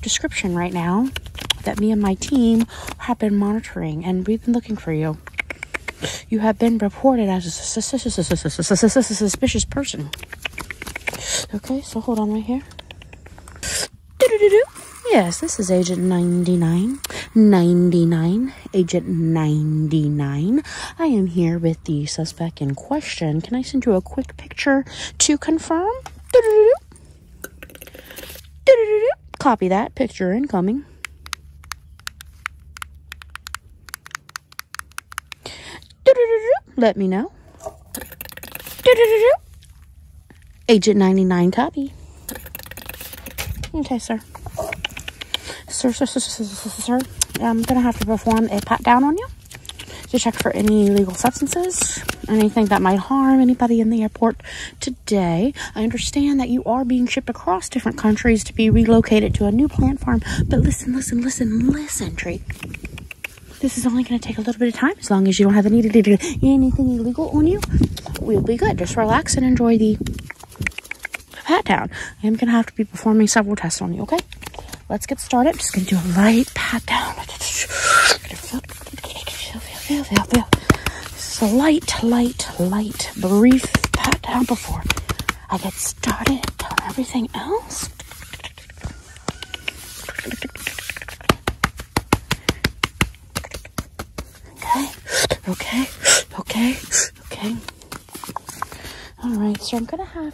description right now that me and my team have been monitoring and we've been looking for you. You have been reported as a suspicious person. Okay, so hold on right here. Yes, this is Agent 99. 99. Agent 99. I am here with the suspect. In question. Can I send you a quick picture to confirm? Copy that. Picture incoming. Let me know. Agent 99 copy. Okay, Sir, sir, sir, sir, sir, sir, I'm gonna have to perform a pat down on you to check for any illegal substances, anything that might harm anybody in the airport today. I understand that you are being shipped across different countries to be relocated to a new plant farm, but listen, listen, listen, listen, Tree. This is only going to take a little bit of time as long as you don't have any anything illegal on you. We'll be good. Just relax and enjoy the pat down. I am going to have to be performing several tests on you, okay? let's get started. I'm just gonna do a light pat down. Slight, light, light, light, brief pat down before I get started on everything else. Okay, okay, okay, okay. All right, so I'm gonna have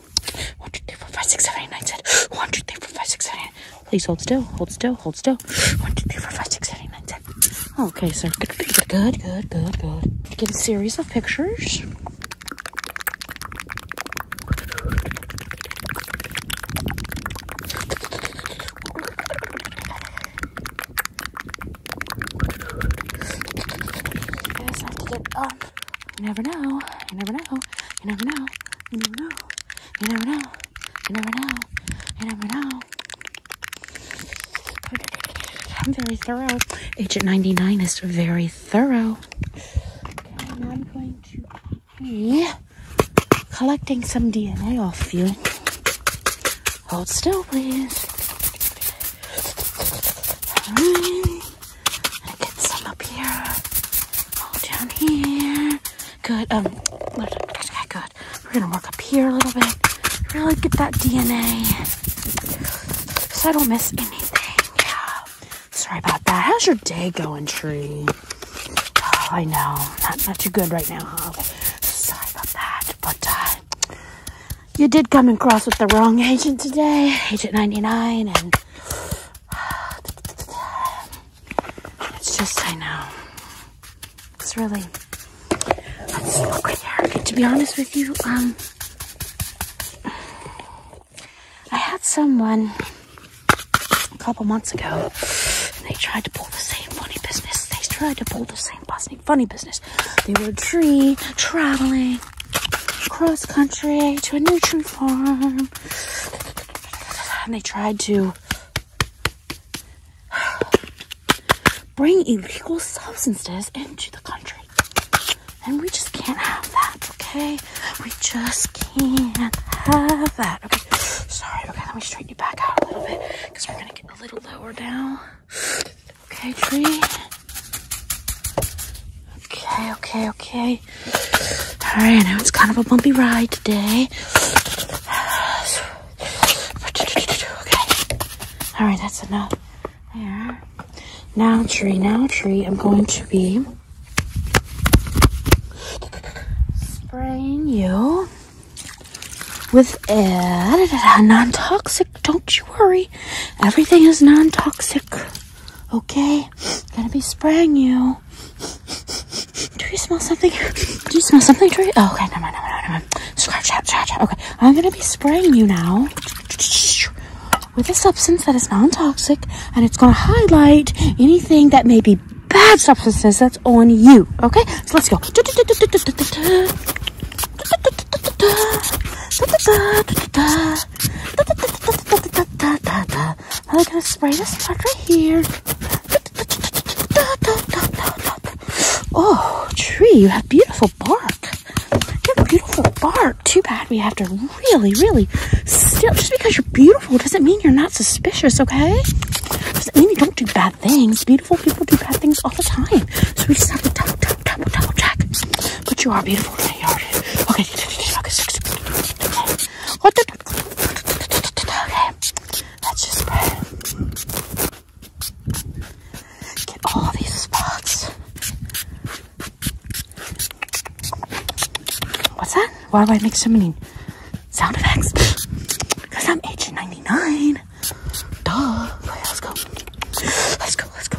One, two, three, four, five, six, seven, eight, nine, ten. One, two, three, four, five, six, seven, eight. Please hold still. Hold still. Hold still. One, two, three, four, five, six, seven, eight, nine, ten. Okay, so good, good, good, good, good, good. Get a series of pictures. Yes, I have to get up. You never know. You never know. You never know. You never know. You never know. You never know. You never know. I'm very thorough. Agent 99 is very thorough. And I'm going to be collecting some DNA off you. Hold still, please. And get some up here. All down here. Good. Um, good. We're gonna work up here a little bit. Really get that DNA. So I don't miss anything. Sorry about that. How's your day going, Tree? Oh, I know. Not, not too good right now, huh? Sorry about that. But, uh, you did come across with the wrong agent today, Agent 99, and It's just, I know. It's really, let's look right To be honest with you, um, I had someone a couple months ago, and they tried to pull the same funny business. They tried to pull the same funny business. They were tree traveling cross country to a new tree farm. And they tried to bring illegal substances into the country. And we just can't have that, okay? We just can't have that. Okay, sorry, okay, let me straighten you back out a little bit because we're gonna get a little lower now. Okay, tree. Okay, okay, okay. All right, now it's kind of a bumpy ride today. All right, that's enough. There. Now, tree, now, tree, I'm going to be spraying you with a non-toxic. Don't you worry. Everything is non-toxic. Okay? Gonna be spraying you. Do you smell something? Do you smell something, Tree? Oh, okay, never mind, never mind, never mind. Scratch out, scratch out. Okay, I'm gonna be spraying you now with a substance that is non-toxic and it's gonna highlight anything that may be bad substances that's on you. Okay, so let's go. I'm gonna spray this part right here. Oh, tree, you have beautiful bark. You have beautiful bark. Too bad we have to really, really still. Just because you're beautiful doesn't mean you're not suspicious, okay? Doesn't mean you don't do bad things. Beautiful people do bad things all the time. So we just have to double, double, double, double check. But you are beautiful. Okay, alright. Okay, okay. What the? Okay, let's just spray. Get all these spots. What's that? Why do I make so many sound effects? Because I'm H99. Duh. let's go. Let's go, let's go.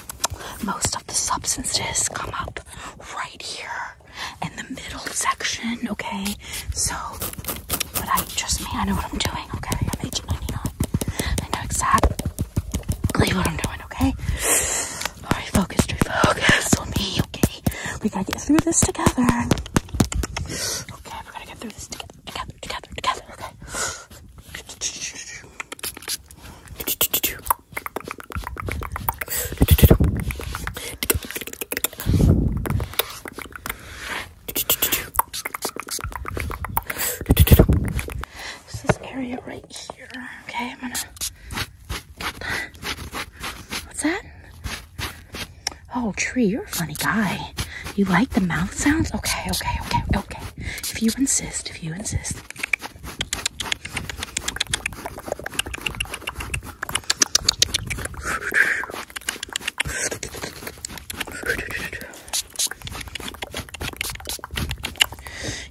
most of the substances come up right here in the middle section, okay? So, but I trust me, I know what I'm doing, okay? I'm agent 99. I know exactly what I'm doing, okay? Alright, focus, Drew, focus on me, okay? We gotta get through this together. Okay, we are going to get through this together, together, together, together, okay? It's this area right here. Okay, I'm gonna get that. What's that? Oh, tree, you're a funny guy. You like the mouth sounds? Okay, okay, okay, okay. If you insist, if you insist.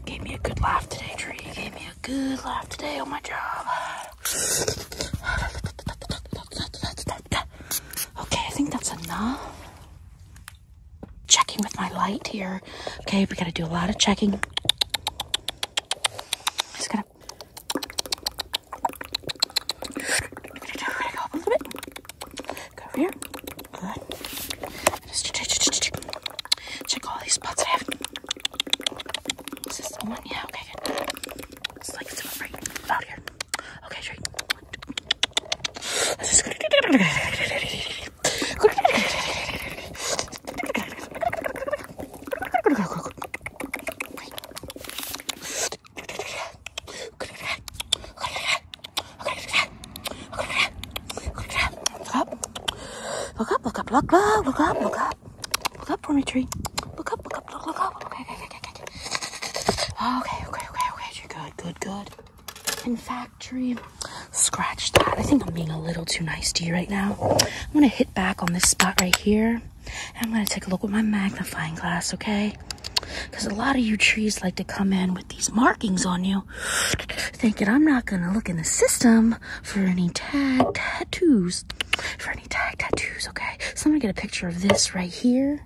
Gave me a good laugh today, Tree. gave me a good laugh today on my job. Okay, I think that's enough checking with my light here. Okay, we gotta do a lot of checking. Just gotta. Gotta go up a little bit. Go over here. Good. Just check, all these spots I Is this the one? Yeah, okay, It's like it's about right about here. Okay, great. Look up, look up, look up, look up, look up. Look up for me, tree. Look up, look up, look, look up. Okay, okay, okay, okay. Okay, okay, okay, okay. You're good, good, good. In factory. Scratch that. I think I'm being a little too nice to you right now. I'm going to hit back on this spot right here. And I'm going to take a look with my magnifying glass, okay? Because a lot of you trees like to come in with these markings on you, thinking I'm not going to look in the system for any tag tattoos. For any tag tattoos, okay? So I'm going to get a picture of this right here.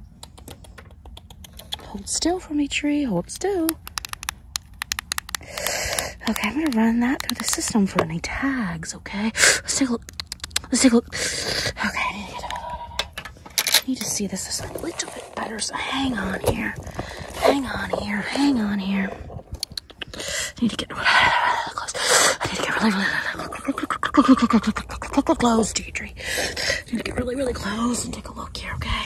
Hold still for me, tree. Hold still. Okay, I'm gonna run that through the system for any tags, okay? Let's take a look. Let's take a look. Okay, I need to, see this a little bit better, so hang on here. Hang on here, hang on here. I need to get really, really close. need to get really, really, really close, Deidre. I need to get really, really close and take a look here, okay?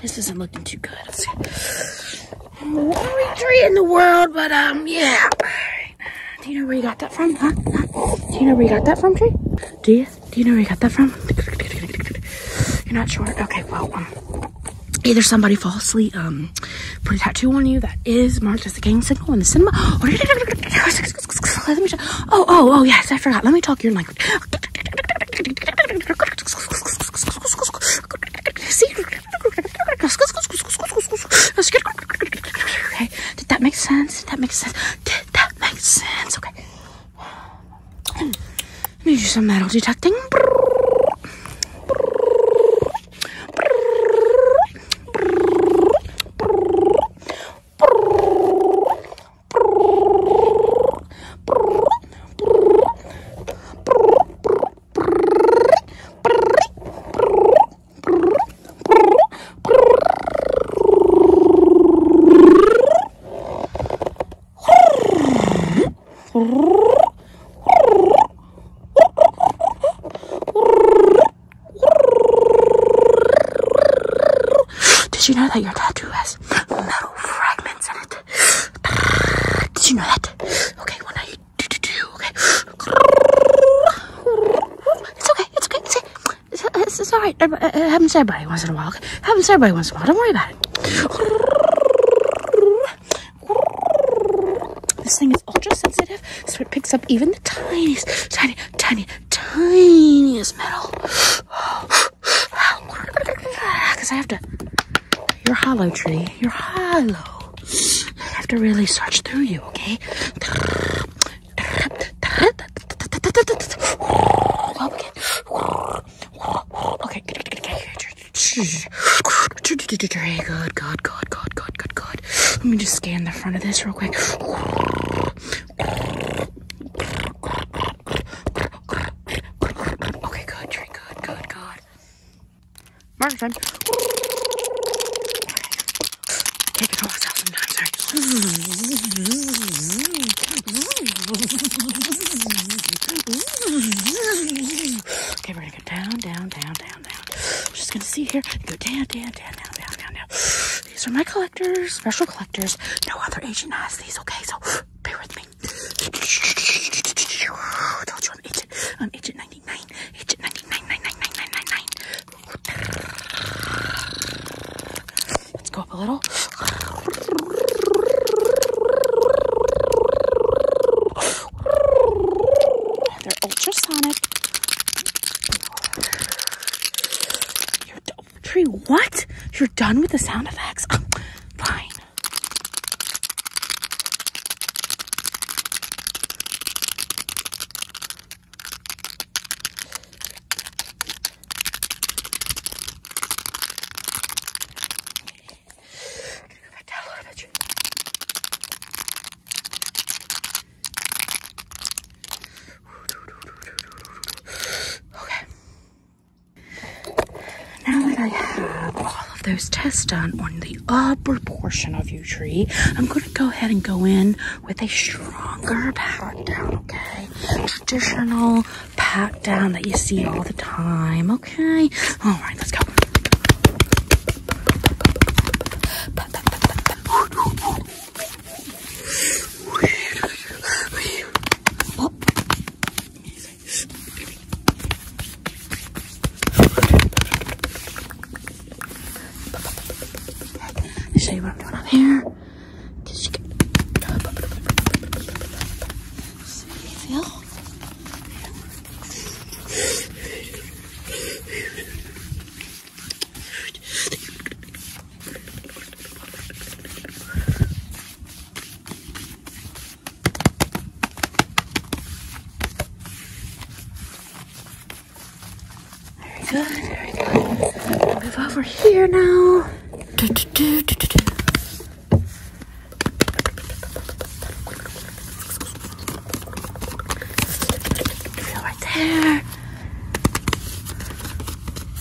This isn't looking too good. Only tree in the world, but um, yeah. Do you know where you got that from, Do you know where you got that from, Tree? Do you? Do you know where you got that from? You're not sure? Okay, well, um, either somebody falsely um put a tattoo on you that is marked as a gang signal in the cinema, Oh, oh, oh, yes, I forgot. Let me talk your language. Okay, did that make sense? Did that make sense? Did that make sense? Okay. I need you some metal detecting. Did you know that your tattoo has has metal fragments in it. Did you know that? Okay, well now you do do do. Okay. It's okay. It's okay. It's okay. It's, it's, it's all right. It happens to everybody once in a while. Okay? It happens to everybody once in a while. Don't worry about it. This thing is ultra sensitive, so it picks up even the tiniest, tiny, tiny, tiniest metal. Because I have to, you're hollow, tree. You're hollow. I have to really search through you, okay? Okay. Good, good, good, good, good, good, good. Let me just scan the front of this real quick. Okay, good, drink, good, good, good. Martin. Take it all out sometimes, right? Okay, we're gonna go down, down, down, down, down. Just gonna see here. Go down, down, down, down, down, down, down. These are my collectors, special collectors. No other agent has these, okay? So bear with me. I told you I'm um, agent. I'm agent 99. Agent 99999999. Let's go up a little. They're ultrasonic. You're Tree, what? You're done with the sound effects? Fine. Okay. Now that I have all of those tests done on the upper portion of your tree, I'm going to go ahead and go in with a stronger pat down, okay? Traditional pat down that you see all the time, okay? All right, let's go. I'll show you what I'm doing on here. feel. Very good, very good. So move over here now. Do, do, do, do, do, do. Feel right there.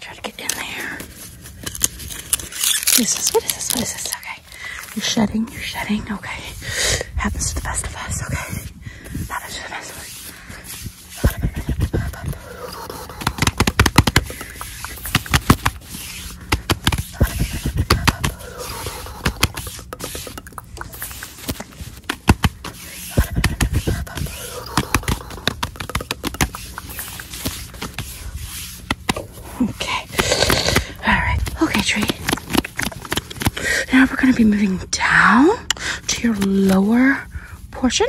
Try to get in there. What is this? What is this? What is this? Okay. You're shedding. You're shedding. Okay. Happens to the best of us. Okay. Happens to the best of us. Okay. All right. Okay, tree. Now we're going to be moving down to your lower portion.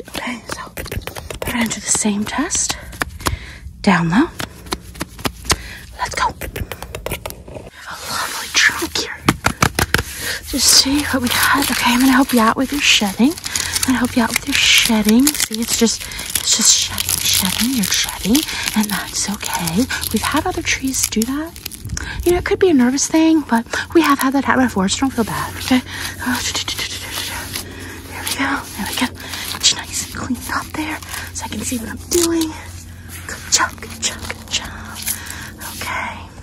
Okay, so put it into the same test. Down low. Let's go. A lovely trunk here. Just see what we had. Okay, I'm going to help you out with your shedding i I help you out with your shedding. See, it's just it's just shedding, shedding. You're shedding, and that's okay. We've had other trees do that. You know, it could be a nervous thing, but we have had that happen before, so don't feel bad, okay? Oh, there we go. There we go. It's nice and cleaned up there so I can see what I'm doing. Good job, good job, good Okay.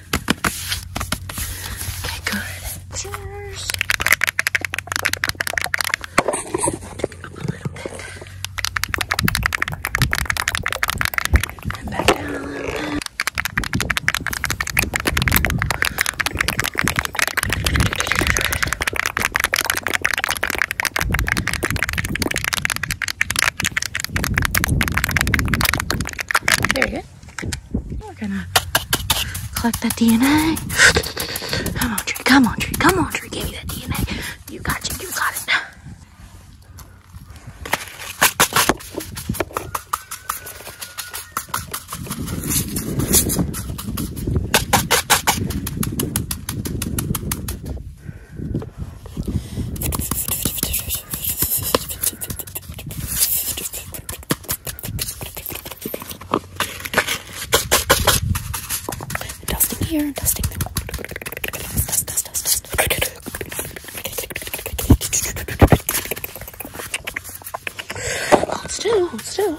Okay, good. Cheers. Pick up There you go. We're gonna collect that DNA. Come on, tree, come on, tree, come on, tree, give me that DNA. You got it, you got it. Dusting here, dusting there. Dust, dust, dust, dust. Hold still, hold still.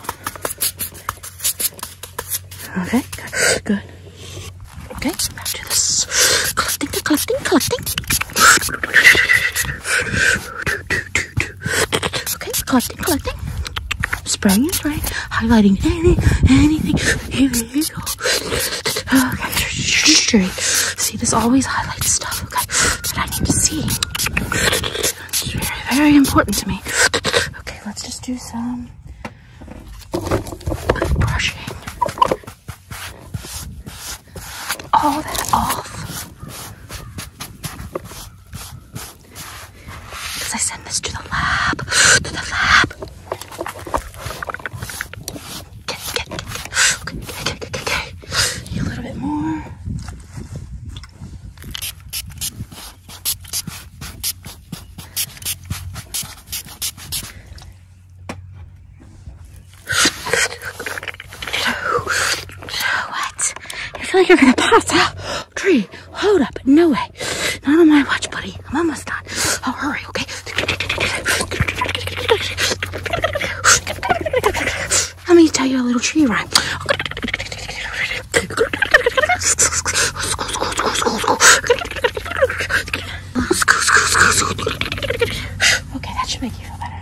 Okay, good. Okay, back to this. Collecting, collecting, collecting. Okay, collecting, collecting. Spraying and spraying, highlighting any, anything. Okay, See, this always highlights stuff, okay, that I need to see. very, very important to me. Okay, let's just do some brushing all that off. Because I send this to the lab. to the lab. Get, get, get, okay, okay, okay, okay, okay. A little bit more. What? I feel like you're gonna pass out. Tree, hold up. No way. Not on my watch, buddy. I'm almost done. I'll oh, hurry, okay? Let me tell you a little tree rhyme. Okay, that should make you feel better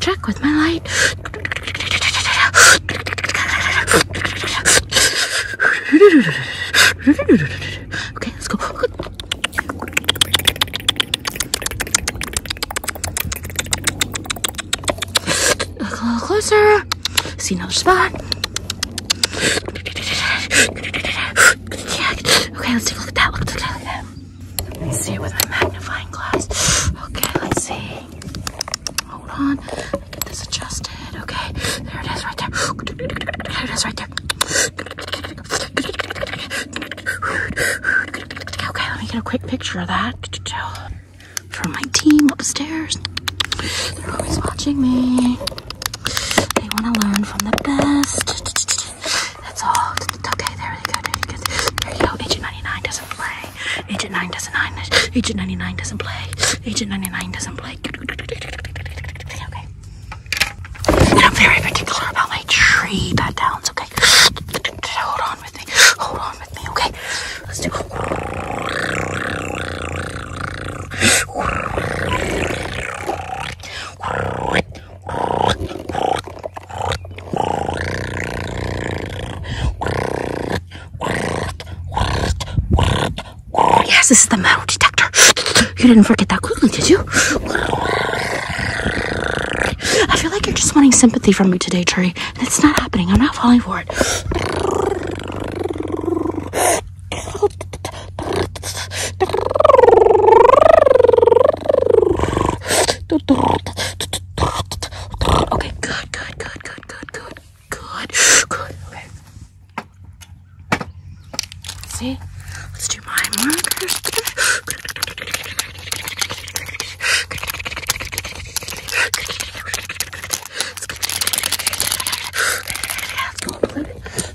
check with my light. Okay, let's go. Look a little closer. See another spot. Okay, let's take a Look at that. Let me see it with my magnifying glass. Okay, let's see. Hold on. I Get this adjusted. Okay, there it is right there. There it is right there. Okay, let me get a quick picture of that from my team upstairs. They're always watching me. They want to learn from the best. That's all. okay, there we go, there you go. There you go. Agent 99 doesn't play. Agent 9 doesn't 9. Agent 99 doesn't play. Agent 99 doesn't play. Okay. And I'm very particular about my tree bat downs, okay? Hold on with me. Hold on with me, okay? Let's do Yes, this is the metal detector. You didn't forget that quickly, did you? I feel like you're just wanting sympathy from me today, Tree. That's not happening. I'm not falling for it. Okay, good, good, good, good, good, good, good, good, okay. See? Let's do my markers. Full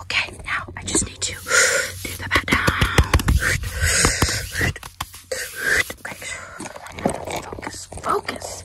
Okay, now I just need to do the back down. Okay, focus, focus.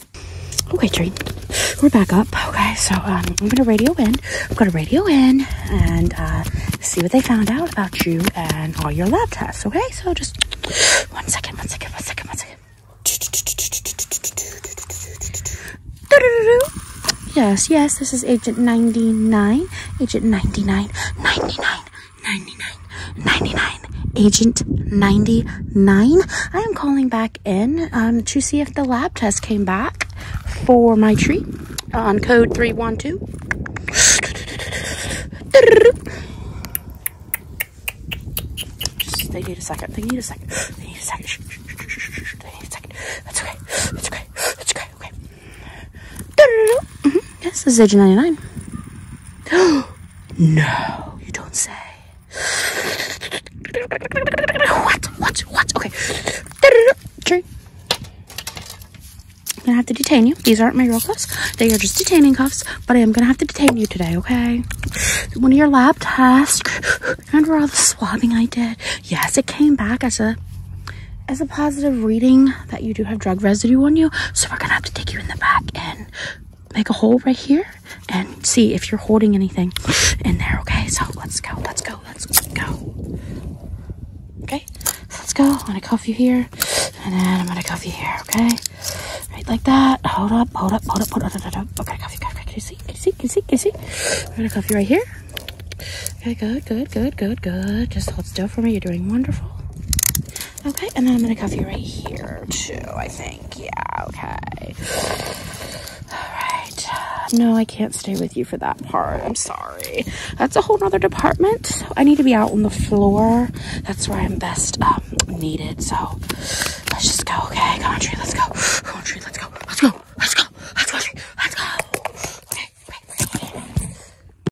Okay, Tree. We're back up. Okay, so um, I'm going to radio in. I'm going to radio in and uh, see what they found out about you and all your lab tests. Okay, so just one second, one second, one second, one second. Yes, yes, this is Agent 99. Agent 99. 99. 99, agent 99. I am calling back in um, to see if the lab test came back for my tree on code 312. they need a second. They need a second. They need a second. That's okay. That's okay. That's okay. Okay. Mm-hmm. Yes, this is agent 99. No, you don't say. What? What? What? Okay. Tree. I'm gonna have to detain you. These aren't my real cuffs. They are just detaining cuffs, but I am gonna have to detain you today, okay? One of your lab tasks. Remember all the swabbing I did? Yes, it came back as a as a positive reading that you do have drug residue on you. So we're gonna have to take you in the back and make a hole right here and see if you're holding anything in there. Okay, so let's go, let's go, let's go. Okay, so let's go. I'm gonna cuff you here, and then I'm gonna cuff you here. Okay, right like that. Hold up, hold up, hold up, hold up. Hold up, hold up. Okay, cuff you, cuff you. Can you see? Can you see? Can you see? Can you see? I'm gonna cuff you right here. Okay, good, good, good, good, good. Just hold still for me. You're doing wonderful. Okay, and then I'm gonna cuff you right here too, I think. Yeah, okay. Alright. No, I can't stay with you for that part. I'm sorry. That's a whole nother department. I need to be out on the floor. That's where I'm best um, needed. So let's just go, okay? Come on, tree, let's go. Come on, tree, let's go. Let's go. Let's go. Let's go, Let's go.